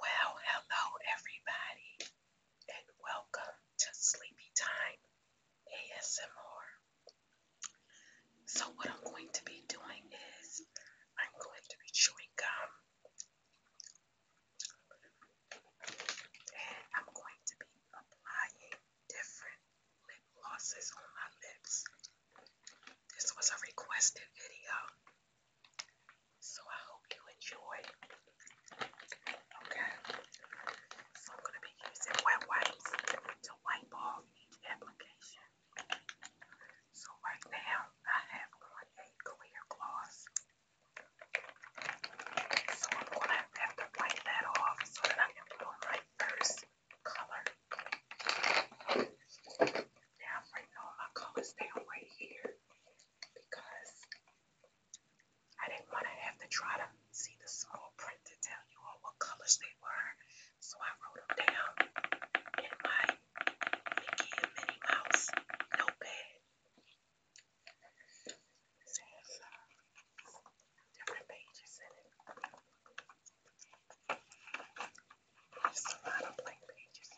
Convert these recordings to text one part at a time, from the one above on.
Well, hello everybody, and welcome to Sleepy Time ASMR. So, what I'm going to be doing is I'm going to be chewing gum, and I'm going to be applying different lip glosses on my lips. This was a requested video, so I hope you enjoy. Okay, so I'm gonna be using wet wipes to wipe off each application. So right now I have on a clear gloss. So I'm gonna have to wipe that off so that I can put on my first color. Now, I'm gonna stay right here because I didn't want to have to try to see the small print to tell you all what colors they were. So I wrote them down in my Mickey Mouse notepad. Uh, different pages in it. There's a lot of blank pages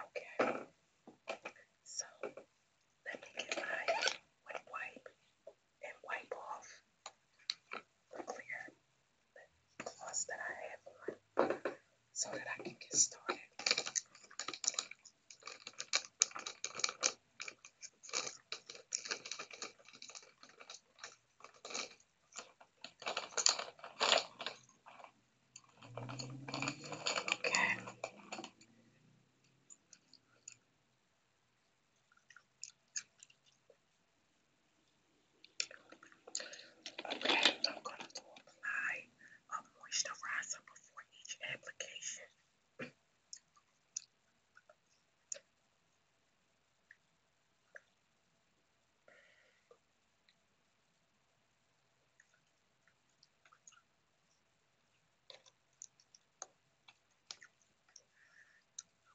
Okay. So let me get my wet wipe and wipe off the clear gloss that I have on so that I can get started. Okay. Okay, I'm going to apply a moisturizer before each application.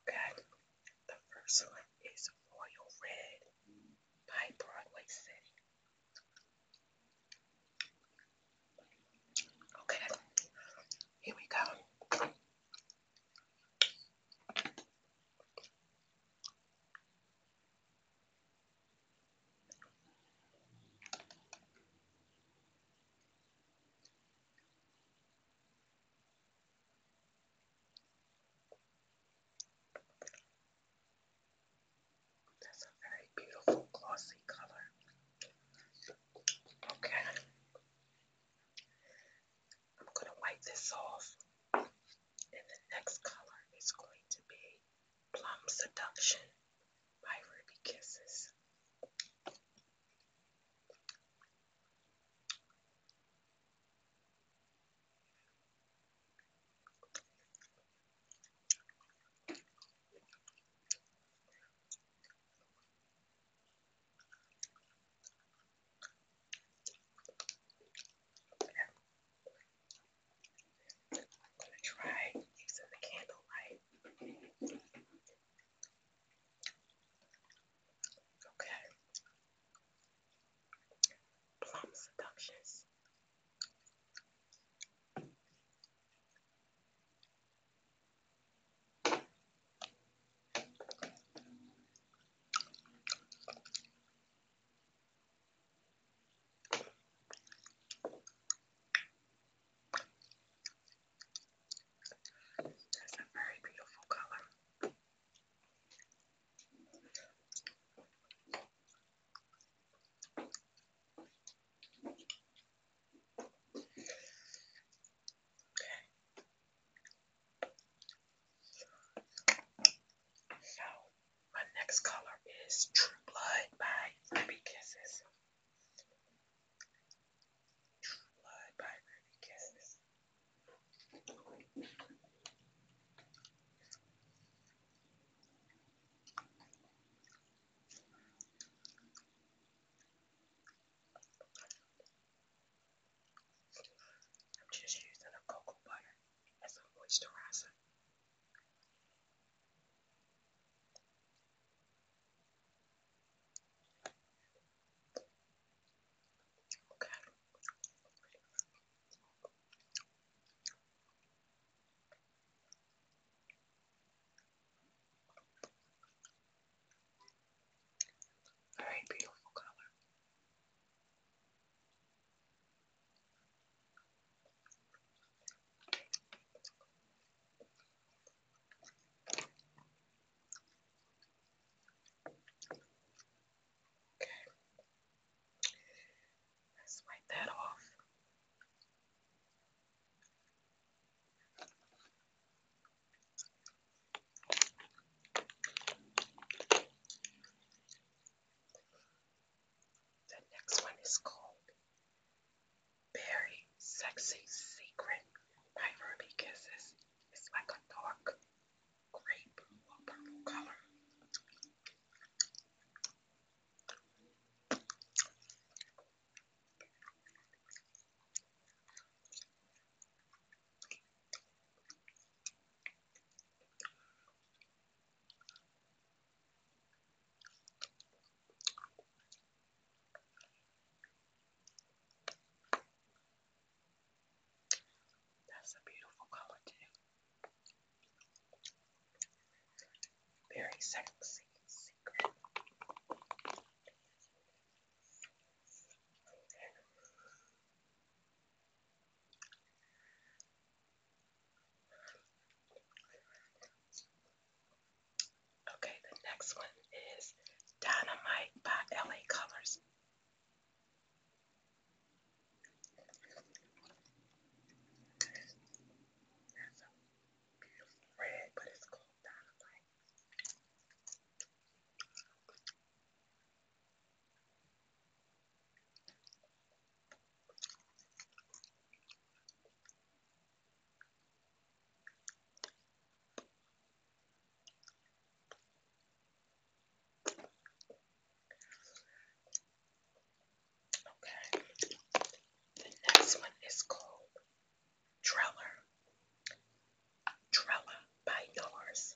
Okay, the first one is Royal Red by Broadway City. Okay, here we go. That's a very beautiful glossy color. Okay. I'm going to wipe this off. And the next color is going to be Plum Seduction by Ruby Kisses. I'm gonna try using the candlelight. Okay. Plum seductions. That's a very beautiful color. Okay. So my next color is True Blood by Ruby Kisses. True Blood by Ruby Kisses. I'm just using a cocoa butter as a moisturizer. Okay. Very beautiful color. Okay. Let's wipe that off. The next one is called Berry Sexy Secret by Ruby Kisses. It's like a dark grape or purple color. That's a beautiful color, too. Very sexy, secret. Okay, the next one is Dynamite by LA Colors. That's beautiful red, but it's called Dynamite. Okay, the next one is called Drella. Trella by Yours.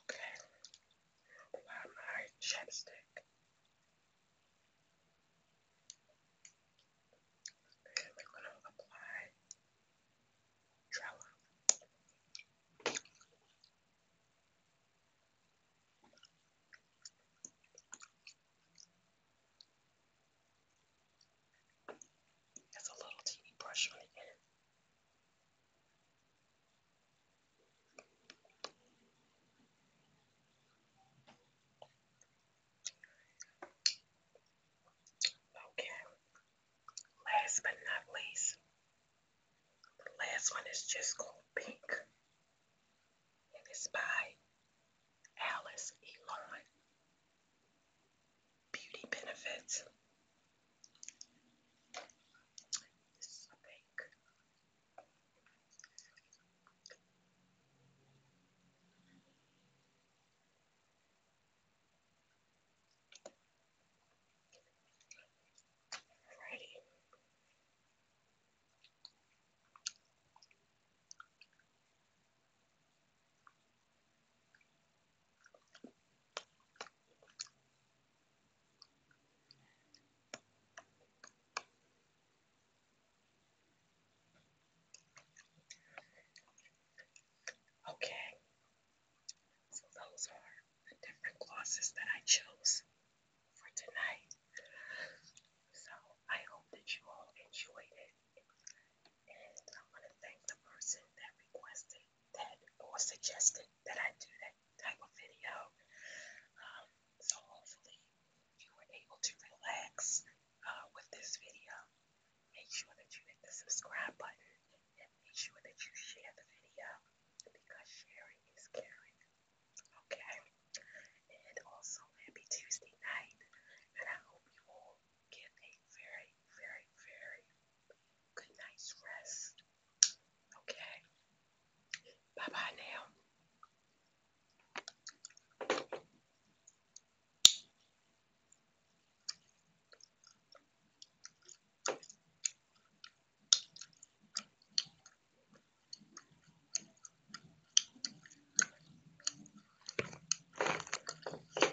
Okay, apply my chapstick. And we're going to apply Trello. There's a little teeny brush on the end. Okay, last but not least, the last one is just called Pink, and it's by Alice Elon beauty benefits. This is pink. Alrighty. Okay, so those are the different glosses that I chose for tonight. So I hope that you all enjoyed it. And I want to thank the person that requested that or suggested that I do that type of video. Um, so hopefully you were able to relax uh, with this video. Make sure that you hit the subscribe button and make sure that you share the video because sharing is caring. Okay? And also, happy Tuesday night. And I hope you all get a very, very, very Good night's rest. Okay. Bye bye now.